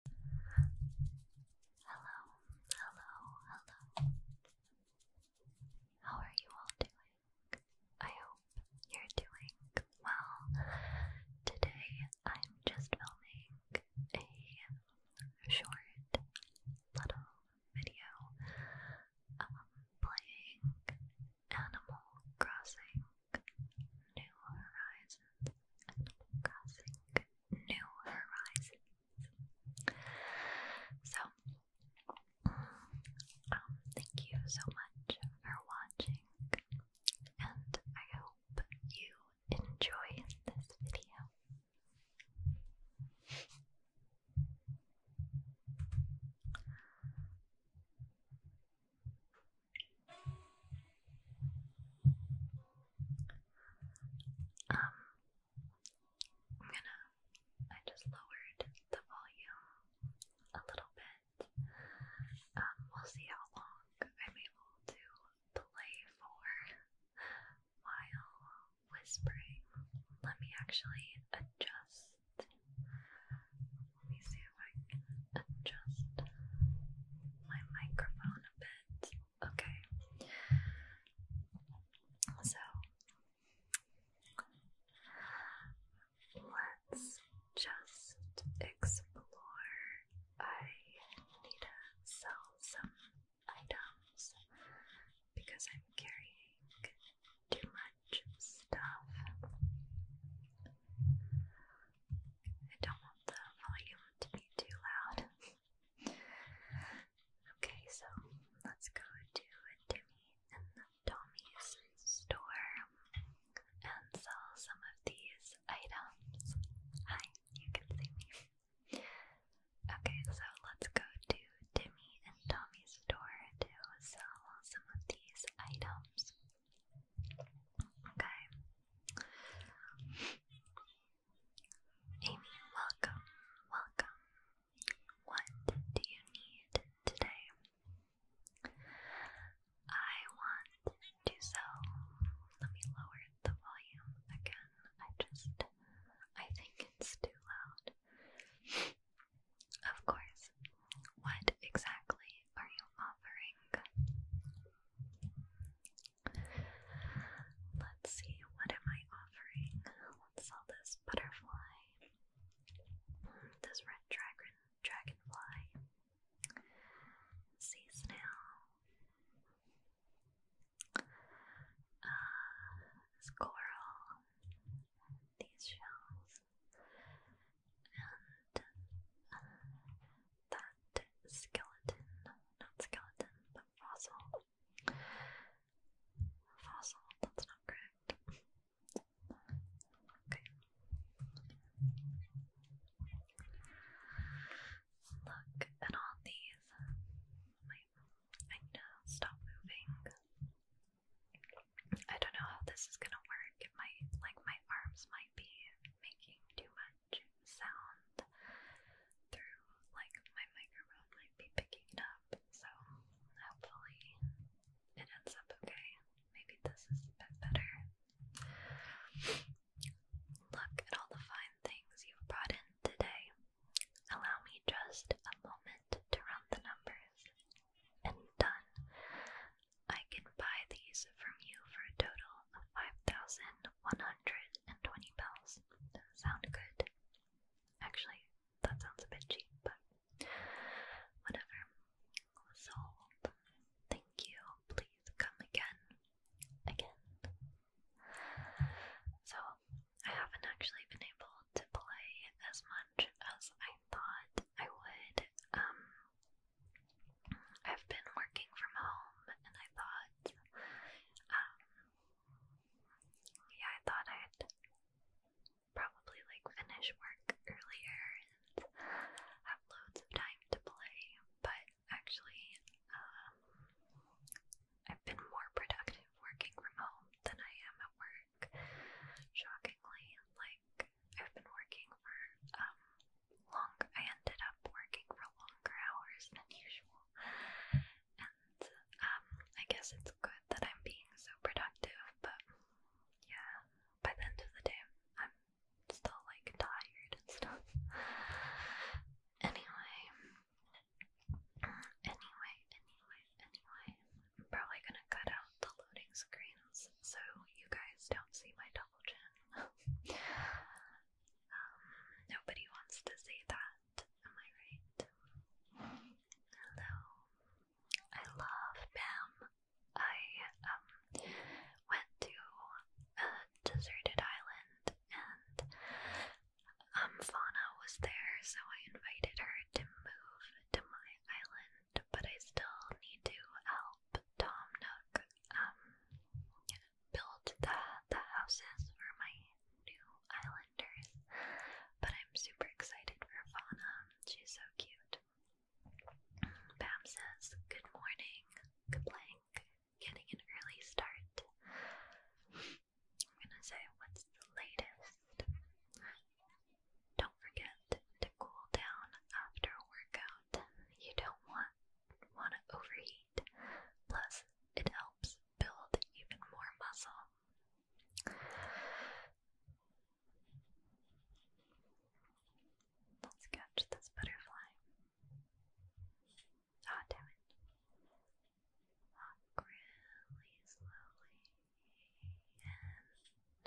Hello, hello, hello. How are you all doing? I hope you're doing well. Today I'm just filming a short little video um, playing Animal Crossing New Horizons new horizons. So, um, thank you so much for watching, and I hope you enjoy this video. Um, I'm gonna, I just lowered the volume a little bit. Um, we'll see how long I'm able to play for while whispering. Let me actually adjust. Let me see if I adjust my microphone a bit. Okay. So let's just explore. I need to sell some items because I'm carrying too much stuff. I don't want the volume to be too loud. Okay, so let's go to Timmy and Tommy's store and sell some of these items. Hi, you can see me. Okay, so let's go to Timmy and Tommy's store to sell some of these items. Okay. Amy, welcome, welcome. What do you need today? I want to sell. Let me lower the volume again. I just, I think it's too loud. Of course. What exactly are you offering? Let's see, what am I offering? Let's sell this butterfly. This red dragon dragonfly. Sea snail. Uh These shells. And uh, that skeleton, not skeleton, but fossil. Fossil, that's not correct. Okay. Look at all these. Wait, I know, stop moving. I don't know how this is gonna work. It might, like, my arms might be making too much sound through like my microphone might be picking it up. So hopefully it ends up okay. Maybe this is a bit better. Look at all the fine things you've brought in today. Allow me just a moment to run the numbers. And done. I can buy these from you for a total of five thousand. dollars 120 bells. Doesn't sound good. Actually, that sounds a bit cheap, but whatever. Sold. Thank you. Please come again. Again. So, I haven't actually been able to play as much as I thought I would. Um, I've been working from home and I thought, um, yeah, I thought I'd probably like finish work earlier and have loads of time to play, but actually, um, I've been more productive working from home than I am at work. Shockingly, like, I've been working for, um, long I ended up working for longer hours than usual. And um I guess it's good that I'm being so productive, but yeah, by the end of the day I'm still like tired and stuff. Anyway, anyway, anyway, anyway, I'm probably gonna cut out the loading screens so you guys don't see my double chin. nobody wants to say that, am I right? Hello. I love Bam. I um, went to a deserted island and um, Fauna was there, so I invited her to move to my island, but I still need to help Tom um, build the, the houses for my new islanders. But I'm super excited for Fauna. She's so cute. Pam says, Good morning, Kablank. Getting an early start. I'm gonna say, What's the latest? Don't forget to cool down after workout. You don't want want to overheat. Plus, it helps build even more muscle. Let's catch this butterfly. Ah, damn it. Walk ah, really slowly.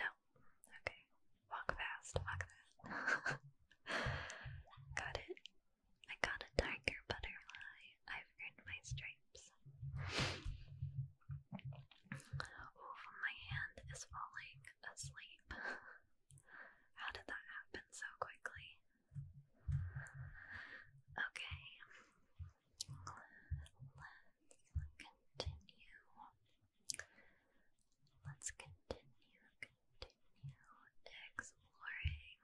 no. Okay. Walk fast. Walk fast. Got it. I got a tiger butterfly. I've earned my stripes. Oof, my hand is falling asleep. How did that happen so quickly? Okay, let's continue. Let's continue, exploring.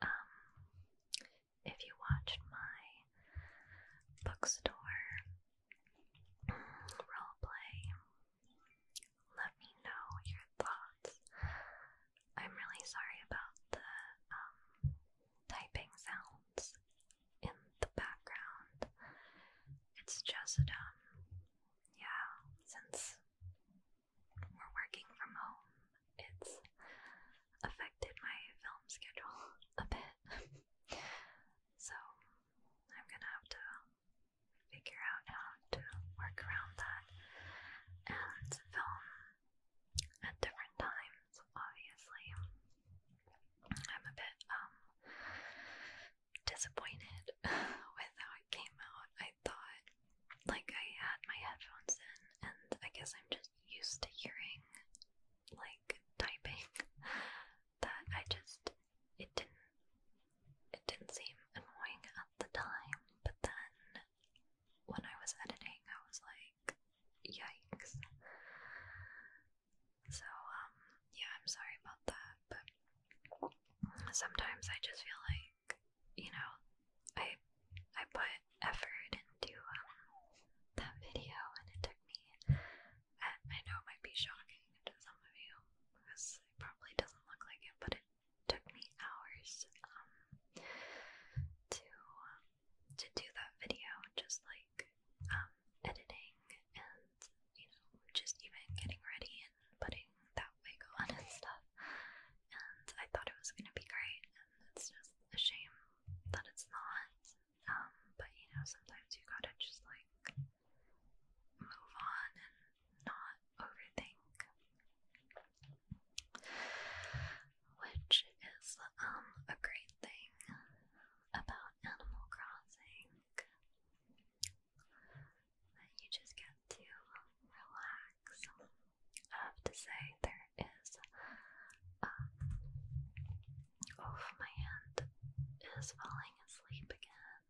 Um, if you watched my bookstore roleplay, let me know your thoughts. I'm really sorry about the um typing sounds in the background. It's just, um, yeah, since we're working from home, it's affected my film schedule a bit. so I'm gonna have to figure out how to work around that and film at different times, obviously. I'm a bit um, disappointed with how it came out. I thought like I had my headphones in and I guess I'm just used to hearing like typing that I just it didn't it didn't seem annoying at the time, but then when I was editing I was like yikes. So, um, yeah, I'm sorry about that, but sometimes I just feel like, you know, I I put effort into um, that video and it took me I, know it might be shocking to some of you because it probably doesn't look like it, but it took me hours um to um, to do that video, just like um, editing and you know, just even getting ready and putting that wig on and stuff. And I thought it was gonna be great, and it's just a shame that it's not. Um, but you know, sometimes you gotta just like move on and not overthink which is um a great thing about Animal Crossing. That you just get to relax. I have to say there is oh my hand is falling asleep again.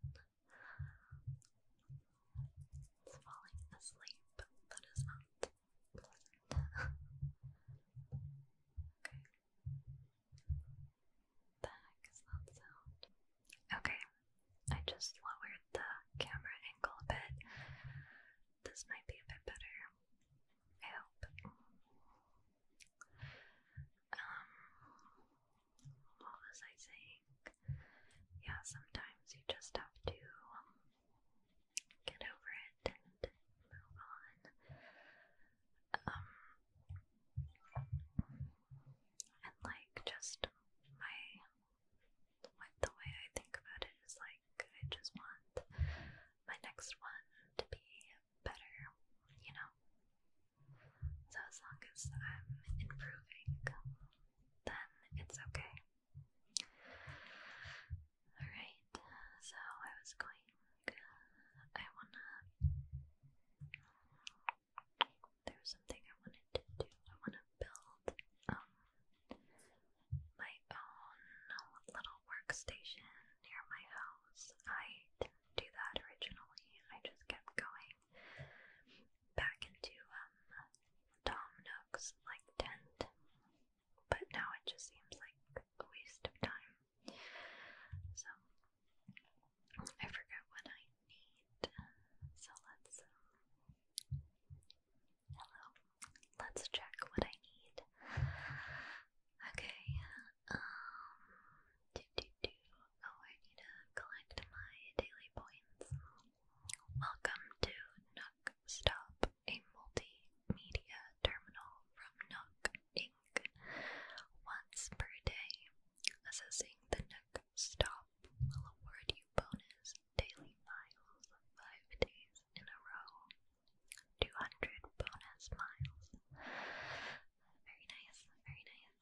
It's falling asleep, but not okay. The heck is that sound? Okay, I just lowered the camera angle a bit. This might be a bit better. I hope. Um, what was I saying? Yeah, sometimes you just have to um, get over it and move on. Um, and like just my the way I think about it is like I just want my next one to be better, you know. So as long as I'm improving, then it's okay. Alright, so I was going, I wanna, there was something I wanted to do. I wanna build, um, my own little workstation near my house. I didn't do that originally, I just kept going back into, um, Tom Nook's, like, tent but now it just seems like a waste of time. So I forget what I need. So let's um, hello. Let's check what I need. Okay. Um. Oh, I need to collect my daily points. Welcome to Nook Stop a multimedia terminal from Nook Inc. once per day. Assessing the Nook stop will award you bonus daily miles five days in a row. 200 bonus miles. Very nice, very nice.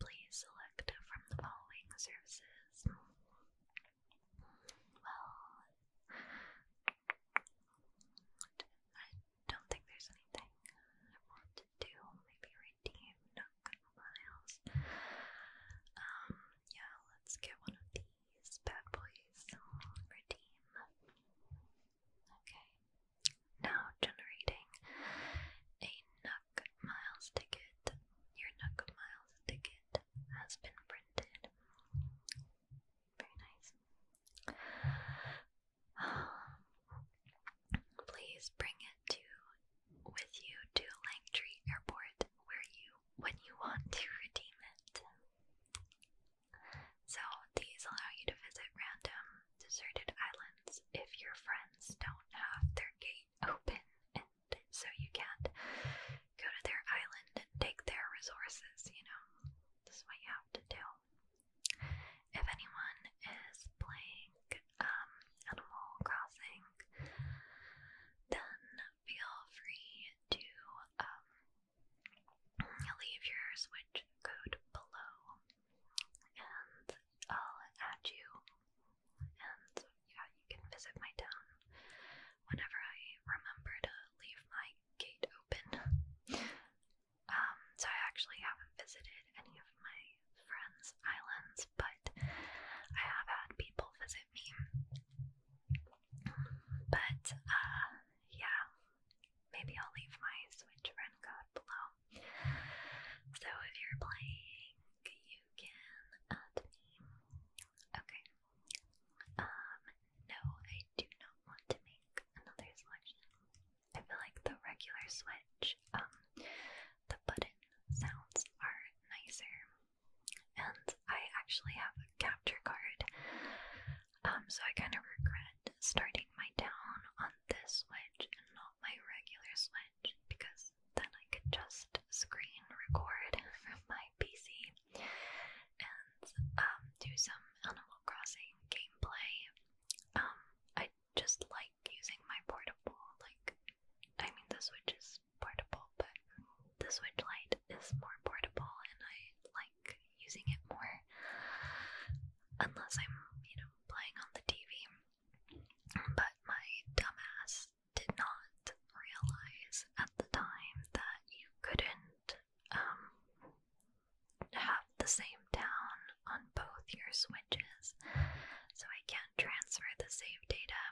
Please select from the following services. Well, I don't think there's anything I want to do. Maybe redeem not miles. Um, yeah, let's get one of these bad boys. Redeem. Okay. Now generating a Nook Miles ticket. Your Nook Miles ticket has been printed. Very nice. Um, please bring it to with you to Langtree Airport where you when you want to redeem it. So these allow you to visit random deserted islands if your friends don't have their gate open and so you can't go to their island and take their resources, you know. This is what you have to do. If anyone is playing um, Animal Crossing, then feel free to um, leave your Switch code below and I'll add you. And yeah, you can visit my town whenever I remember to leave my gate open. Um, so I actually haven't visited any of my friends' islands, but I have had people visit me. But uh, yeah, maybe I'll leave my Switch friend code below. So if you're playing, you can add me. Okay. Um, no, I do not want to make another selection. I feel like the regular switch, um, the button sounds are nicer. And I actually have a capture card, um, so I kind of regret starting my down on this switch and not my regular switch because then I could just screen record from my PC and um, do some Animal Crossing gameplay. Um, I just like using my portable, like, I mean, the Switch is portable, but the Switch Lite is more portable, and I like using it more, unless I'm, you know, playing on the TV. But my dumbass did not realize at the time that you couldn't um have the same town on both your switches, so I can't transfer the save data.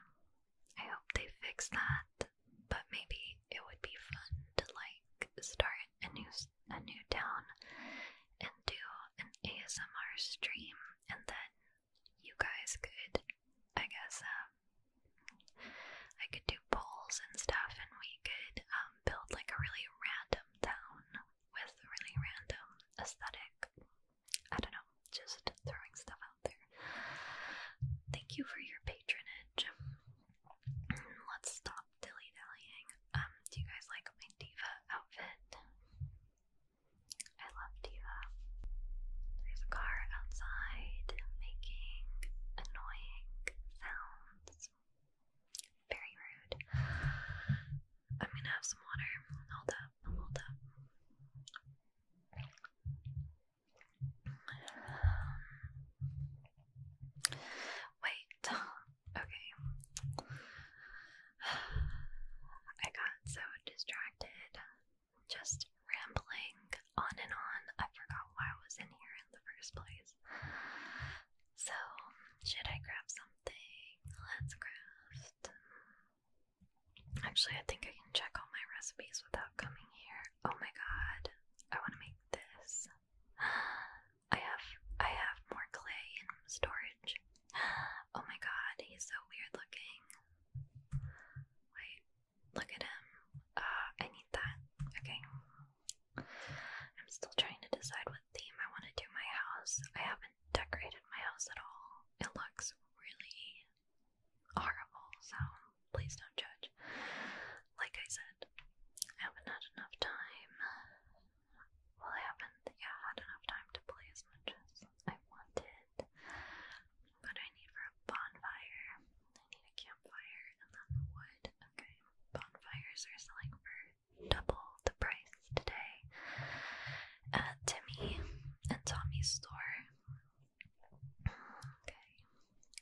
I hope they fix that, but maybe it would be fun to like start a new a new town and do an ASMR stream, and then you guys could, I guess, um, I could do polls and stuff, and we could um, build like a really random town with really random aesthetic. I don't know, just throwing stuff out there. Thank you for your patronage. Let's stop dilly dallying. Um, do you guys like my diva outfit? I love diva. There's a car outside making annoying sounds. Very rude. I'm gonna have some water. Hold up, hold up. wait, okay. I got so distracted, just rambling on and on. I forgot why I was in here in the first place. So, should I grab something? Let's craft. Actually, I think I can check all my recipes without coming here. Oh my god, I want to make this. I have I have more clay in storage. Oh my god, he's so weird looking. Wait, look at him. Uh, I need that. Okay. I'm still trying to decide what theme I want to do my house. I haven't decorated my house at all. It looks really horrible, so please don't judge. Like I said, I haven't had enough time. Well, I haven't, yeah, had enough time to play as much as I wanted. But I need for a bonfire. I need a campfire and then wood. Okay, bonfires are selling for double the price today at Timmy and Tommy's store. Okay, let's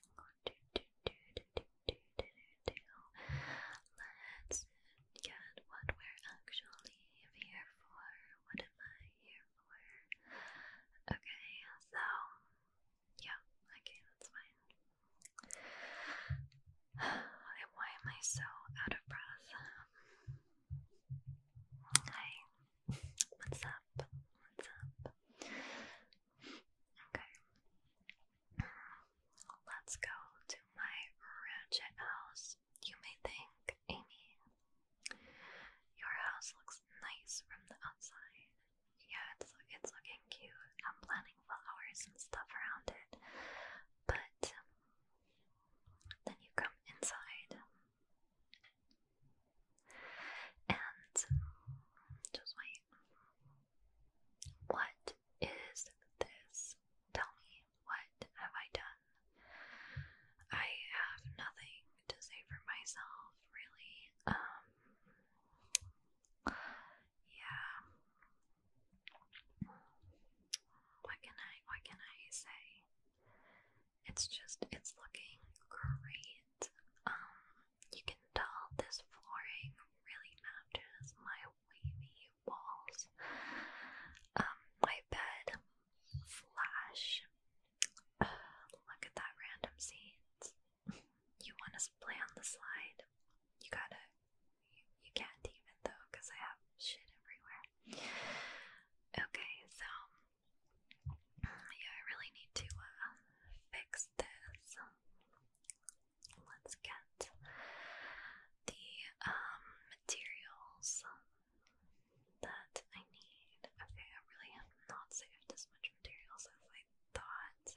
get what we're actually here for. What am I here for? Okay, so yeah, okay, that's fine. And why am I so out of breath? Hi, what's up? What's up? Okay, let's go to my ratchet house. You may think, Amy, your house looks nice from the outside, yeah, it's it's looking cute. I'm planting flowers and stuff around it. But um, then you come inside and just wait. What is this? Tell me, what have I done? I have nothing to say for myself, really. Um yeah. What can I what can I say? It's just it's looking great. Um, you can tell this flooring really matches my wavy walls. Um, my bed flash. look at that random seeds. You want to play on the slide? You gotta, you, you can't even though, because I have shit everywhere. Okay, so, yeah, I really need to uh, fix this. Let's get the um, materials that I need. Okay, I really have not saved as much materials as I thoughts.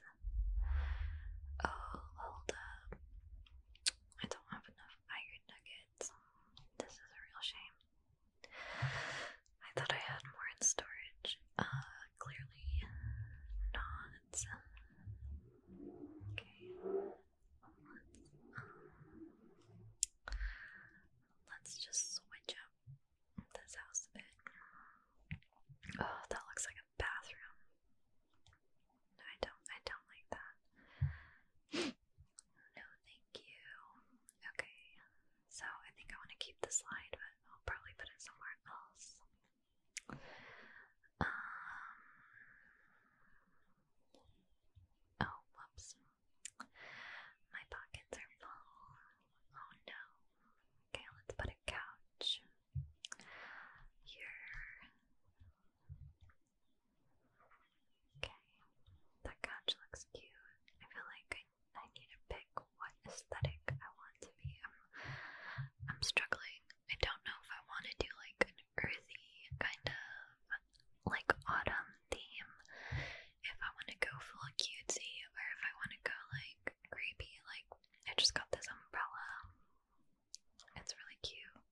Oh, hold up. I don't have enough iron nuggets. This is a real shame. I thought I had more in storage. Uh, clearly not. Okay. Let's, just switch up this house a bit. Oh, that looks like a bathroom. I don't. I don't like that. No, thank you. Okay, so I think I want to keep the slide, but I'll probably put it somewhere else. Um, oh, whoops. My pockets are full. Oh no. Okay, let's put couch. Here. Okay, that couch looks cute. I feel like I, I need to pick what aesthetic I want to be. I'm, I'm struggling. I don't know if I want to do like an earthy kind of like autumn theme. If I want to go full cutesy or if I want to go like creepy, like I just got this umbrella. It's really cute.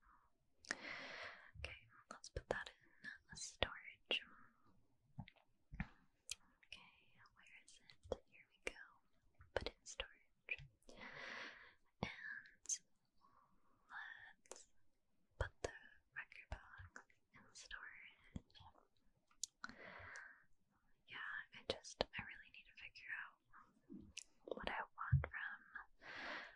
Okay, let's put that in storage. Okay, where is it? Here we go. Put in storage. And let's put the record box in storage. Yeah, I just, I really need to figure out what I want from.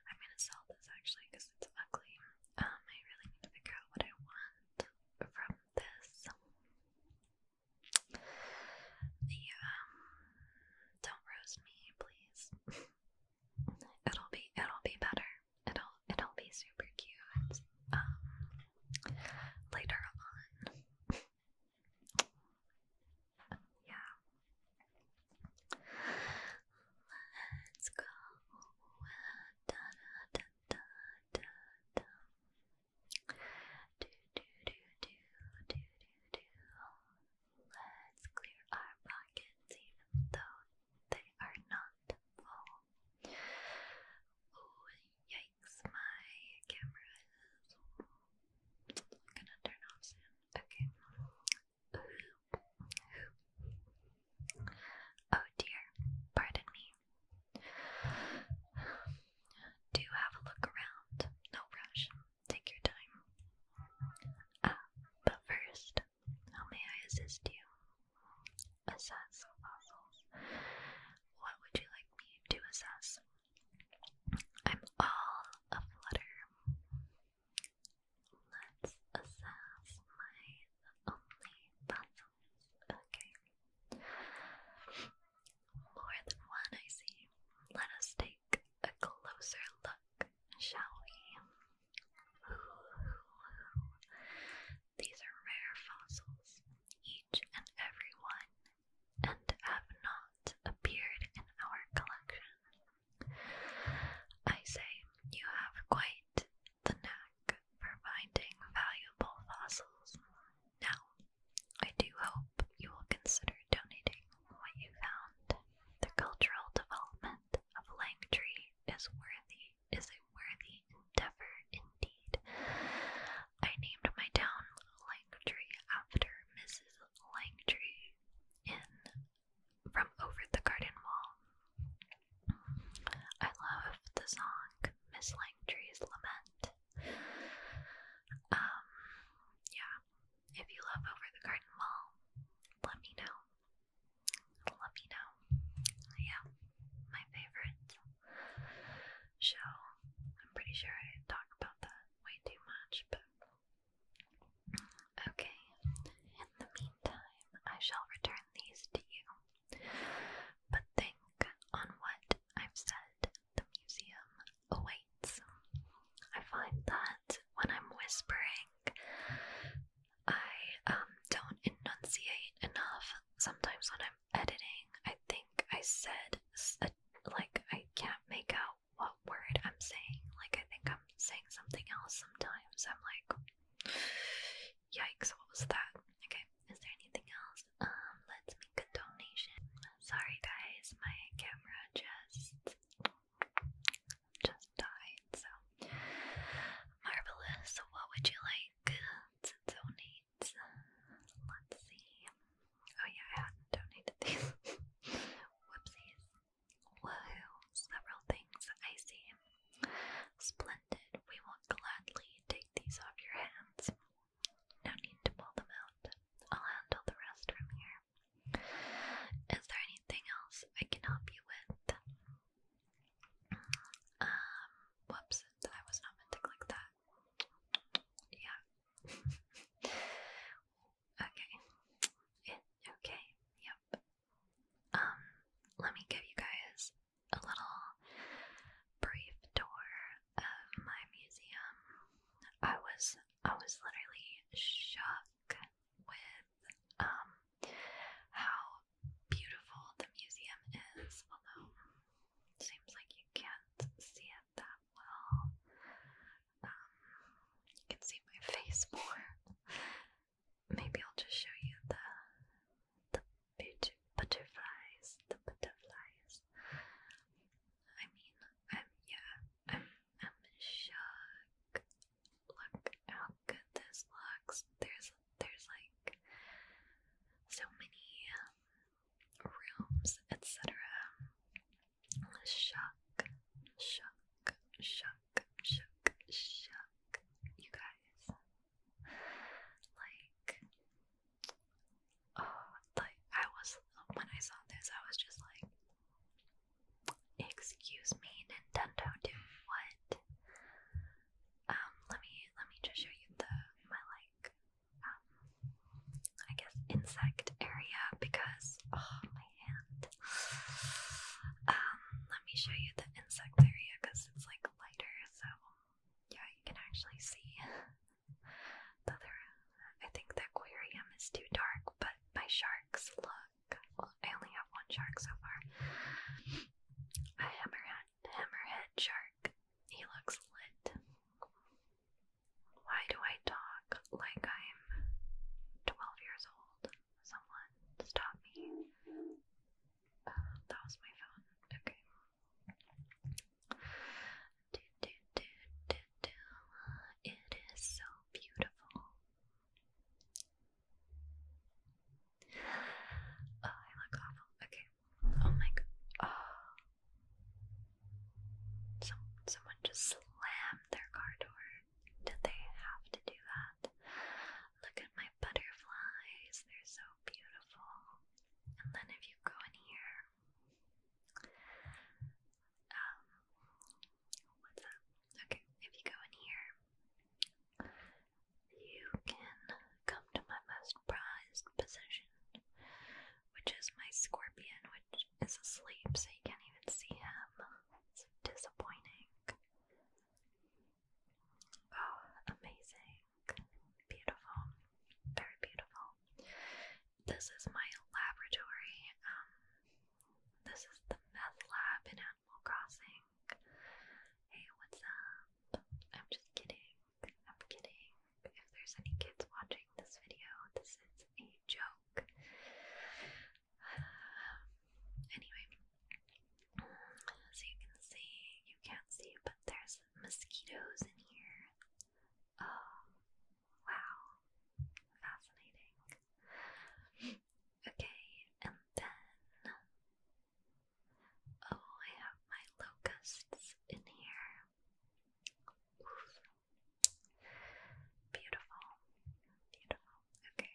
I'm gonna sell this actually because it's ugly. Um, I really need to figure out what I want from this. Yeah, um, don't roast me, please. it'll be, it'll be better. It'll, it'll be super cute. Um, later on. Yeah. Let's go. Da da da da da. Do do do do do do do. Let's clear our pockets, even though they are not full. Oh yikes! My camera is I'm gonna turn off soon. Okay. Oh dear, pardon me. Do have a look around. No rush. Take your time. Uh, but first, how may I assist you? Assess fossils. What would you like me to assess? I'm all aflutter. Let's assess my only fossils. Okay. More than one, I see. Let us take a closer look, shall we? These are rare fossils. Each and every one and have not appeared in our collection. I say you have quite the knack for finding valuable fossils. Now, I do hope you will consider donating what you found. The cultural development of Langtree is worthy is a worthy endeavor indeed. I named my town Langtree after Mrs. Langtree in from Over the Garden Wall. I love the song Miss Langtry's Lament. Um, yeah, if you love Over the Garden Wall, let me know. Let me know. Yeah, my favorite show. I'm pretty sure I talk about that way too much, but okay. In the meantime, I shall return these to you. But think on what I've said the museum awaits. I find that when I'm whispering, I um, don't enunciate enough. Sometimes when I'm editing, I think I said like I can't make out what word I'm saying. Like I think I'm saying something else sometimes. I'm like yikes, what was that? Okay, is there anything else? Um, let's make a donation. Sorry guys, my camera just just died, so marvelous. So what would you like to donate? Let's see. Oh yeah, I donated these. Whoopsies. Woohoo. Several things I see. Splendid. We will gladly take these off your hands. No need to pull them out. I'll handle the rest from here. Is there anything else I can help you with? Um, whoops, I was not meant to click that. Yeah. okay. okay. Yep. Um, let me give you guys a little brief tour of my museum. I was I was literally shocked with um how beautiful the museum is, although it seems like you can't see that well. Um, you can see my face more. Maybe I'll just show you the the butterflies. The butterflies. I mean, i yeah, I'm I'm shook. Look how good this looks. There's there's like so many um, rooms, etc. Shuck, shuck, shuck, shuck, shuck. You guys, like, oh, like I was when I saw this, I was just like, excuse me, Nintendo, do what? Um, let me let me just show you the my like I guess insect area because oh my hand. Um, let me show you the insect area because it's like lighter, so yeah, you can actually see. the other, I think the aquarium is too dark, but my sharks look. Well, I only have one shark so far. A hammerhead, hammerhead shark. He looks lit. Why do I talk like I'm 12 years old? Someone stop me. Oh, that was my phone. Okay. It is so beautiful. Oh, I look awful. Okay. Oh my god. Oh. Some, someone just slammed their car door. Did they have to do that? Look at my butterflies, they're so beautiful. And then if you go in here, um, what's up? Okay, if you go in here, you can come to my most prized possession, which is my scorpion, which is asleep, so you can't even see him. disappointing. Oh, amazing. Beautiful. Very beautiful. This is my laboratory. Um, this is the meth lab in Animal Crossing. Hey, what's up? I'm just kidding. I'm kidding. If there's any kids watching this video, this is a joke. Um, anyway, so you can see, you can't see, but there's mosquitoes in here. Oh, wow. Fascinating. Okay, and then. Oh, I have my locusts in here. Beautiful. Beautiful. Okay.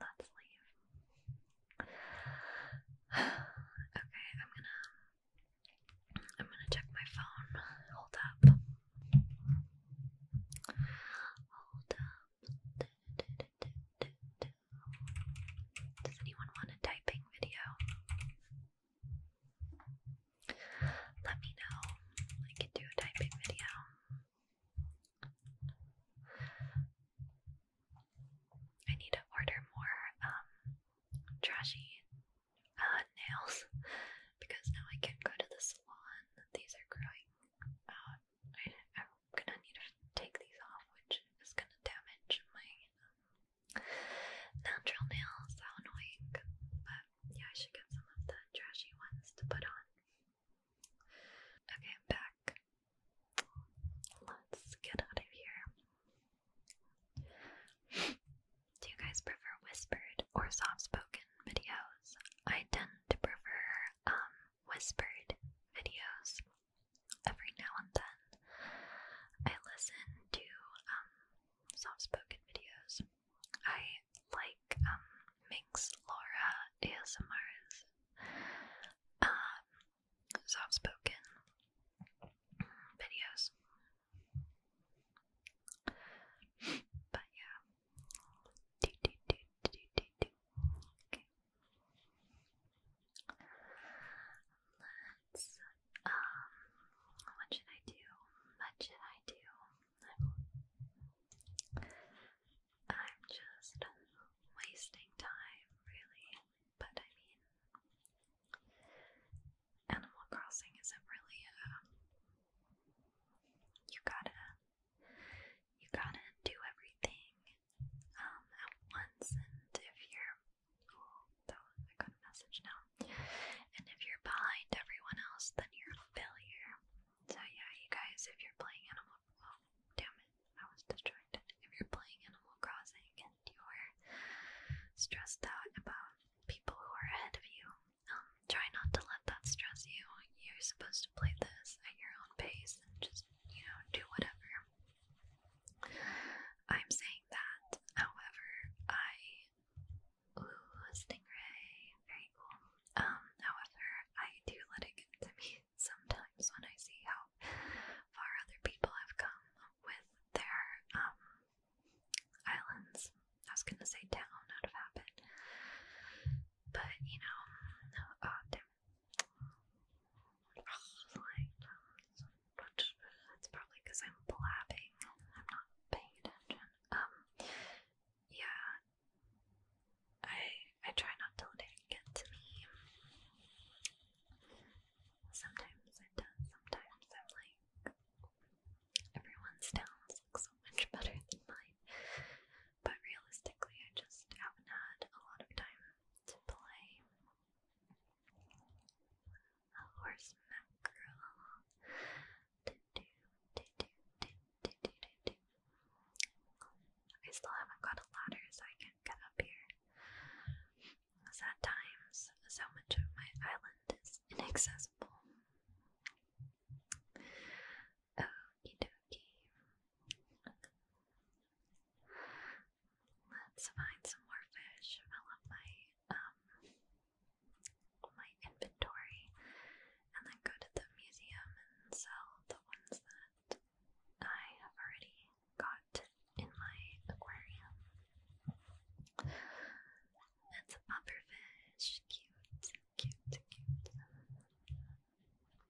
Let's leave. okay, I'm gonna I'm gonna check my phone. Hold up. Hold up. Does anyone want a typing video? Let me know. I can do a typing video. I need to order more um, trashy uh, nails because now I can't go to the salon. These are growing out. I, am gonna need to take these off, which is gonna damage my um, natural nails. How annoying! But yeah, I should get some of the trashy ones to put on. Okay, I'm back. Let's get out of here. Do you guys prefer whispered or soft-spoken videos? I tend to prefer um whispered videos. Every now and then, I listen to um soft-spoken videos. I like um, Minx Laura ASMRs. Um soft spoken videos. But yeah. Let's um, what should I do? What should I do? I'm just wasting time, really. But I mean, Animal Crossing isn't really a. Uh, you gotta. You gotta do everything um, at once, and if you're. Oh, message now. And if you're behind everyone else, then you're a failure. So yeah, you guys, if you're playing Animal, oh damn it, I was distracted. If you're playing Animal Crossing and you're stressed out about people who are ahead of you, um, try not to let that stress you. You're supposed to play this at your own pace and just you know do whatever. I'm saying that, however, I Ooh, a stingray. Very cool. Um, however, I do let it get to me sometimes when I see how far other people have come with their um islands. I was gonna say down out of habit. But you know, uh, oh damn. Um, that's probably because I'm blabbing. I'm not paying attention. Um, yeah, I I try not to let it get to me. Sometimes it does. Sometimes I'm like, everyone's sounds look so much better than mine, but realistically, I just haven't had a lot of time to play. A horse mackerel. I still haven't got a ladder so I can't get up here. Because times, so much of my island is inaccessible. Okie dokie. Let's find some more fish. Fill up my um, my inventory and then go to the museum and sell the ones that I have already got in my aquarium. That's a pufferfish, cute, cute, cute.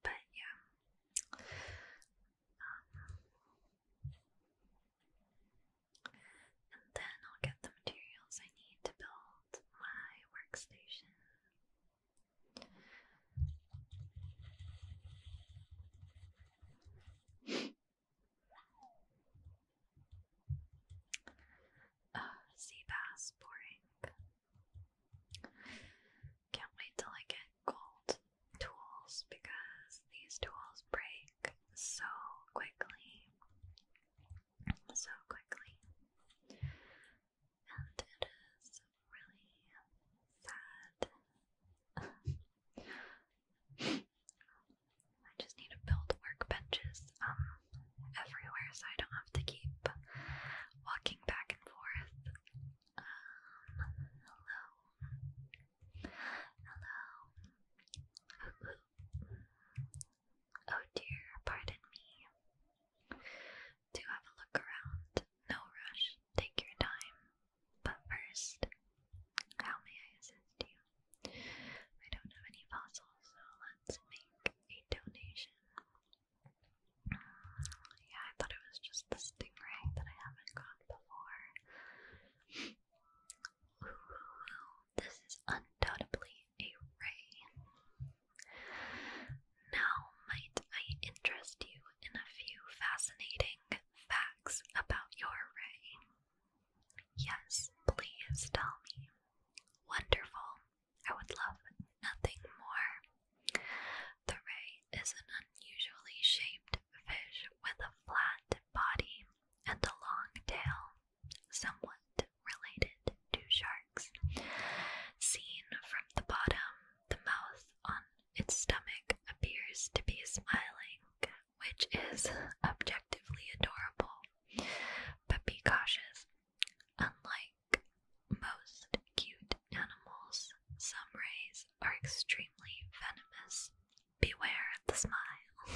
But yeah. Um, then I'll get the materials I need to build my workstation. Oh, sea bass, boring. Can't wait till I get gold tools because these tools break so quickly so quickly. And it is really sad. I just need to build workbenches um, everywhere so I don't have to keep walking back and forth. Um, hello. Hello. Oh dear, pardon me. Do have a look around. No rush, take your time. But first, how may I assist you? I don't have any fossils, so let's make a donation. Yeah, I thought it was just the stingray that I haven't got before this is undoubtedly a ray. Now, might I interest you in a few fascinating facts about your ray? Yes, please tell me. Wonderful. I would love nothing more. The ray is an unusually shaped fish with a flat body and a long tail somewhat related to sharks. Seen from the bottom, the mouth on its stomach appears to be smiling, which is objectively adorable. But be cautious. Unlike most cute animals, some rays are extremely venomous. Beware the smile.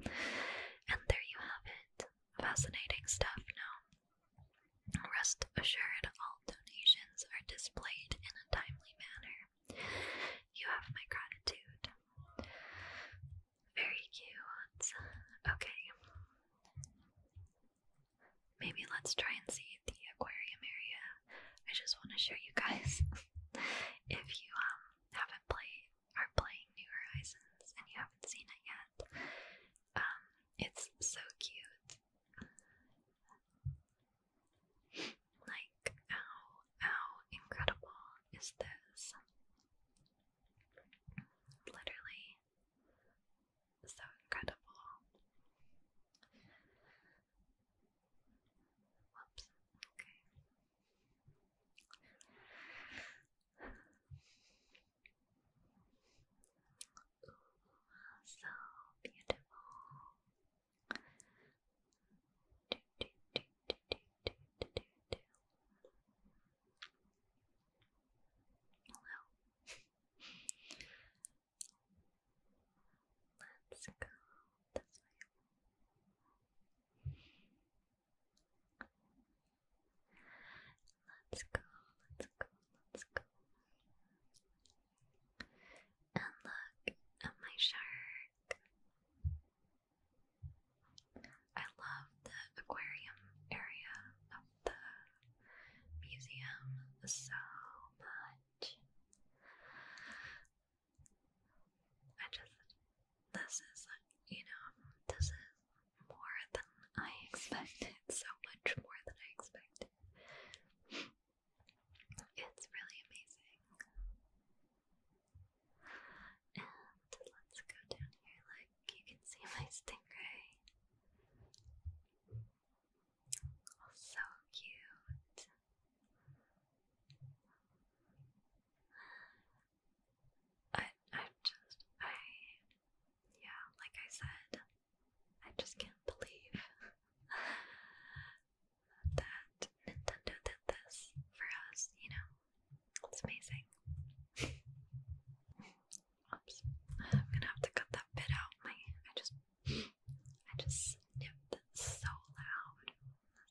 and there you have it. Fascinating stuff, no? Rest assured, all donations are displayed in a timely manner. You have my gratitude. Very cute. Okay. Maybe let's try and see the aquarium area. I just want to show you guys. if you um haven't played are playing New Horizons and you haven't seen it yet, um, it's so cute. Like, how, how incredible is this? Literally, so incredible. Whoops, okay so beautiful. let's go Let's go, let's go, let's go. And look at my shark. I love the aquarium area of the museum so much. I just, this is, you know, this is more than I expected, so much more than I expected. It's really amazing. let's go down here. Like you can see my stingray. so cute. I, i just, I, yeah, like I said, I just can't believe that Nintendo did this for us, you know? It's amazing. Oops. I'm gonna have to cut that bit out. My, I just, I just snipped so loud.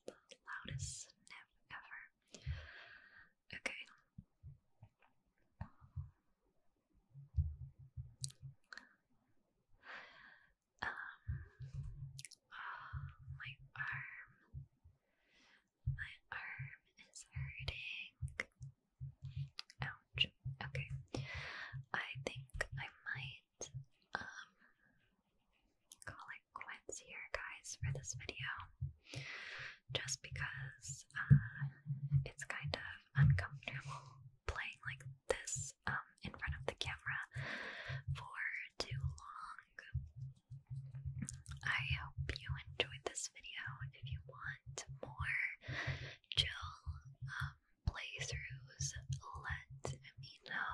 the loudest snip ever. Okay. Um, my arm. My arm is hurting. Ouch. Okay. I think I might um call it quits here guys for this video just because uh, it's kind of uncomfortable playing like this um, in front of the camera for too long. I hope you enjoyed this video. If you want more chill um, playthroughs, let me know.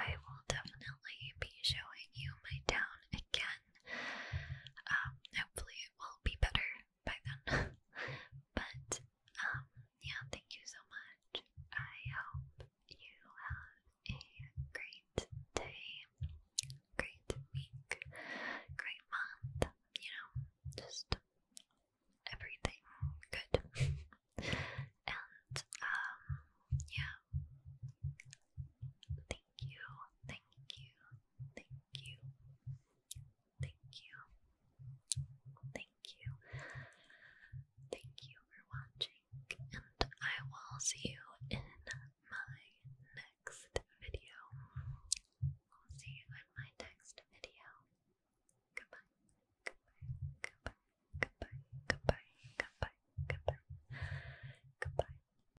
I will definitely be showing you my town again um, hopefully it will be better by then. but um, yeah, thank you so much. I hope you have a great day, great week, great month, you know, just everything good. and um, yeah you, thank you, thank you, thank you, thank you, thank you for watching, and I will see you in my next video. I'll see you in my next video. Goodbye, goodbye, goodbye, goodbye, goodbye, goodbye, goodbye, goodbye.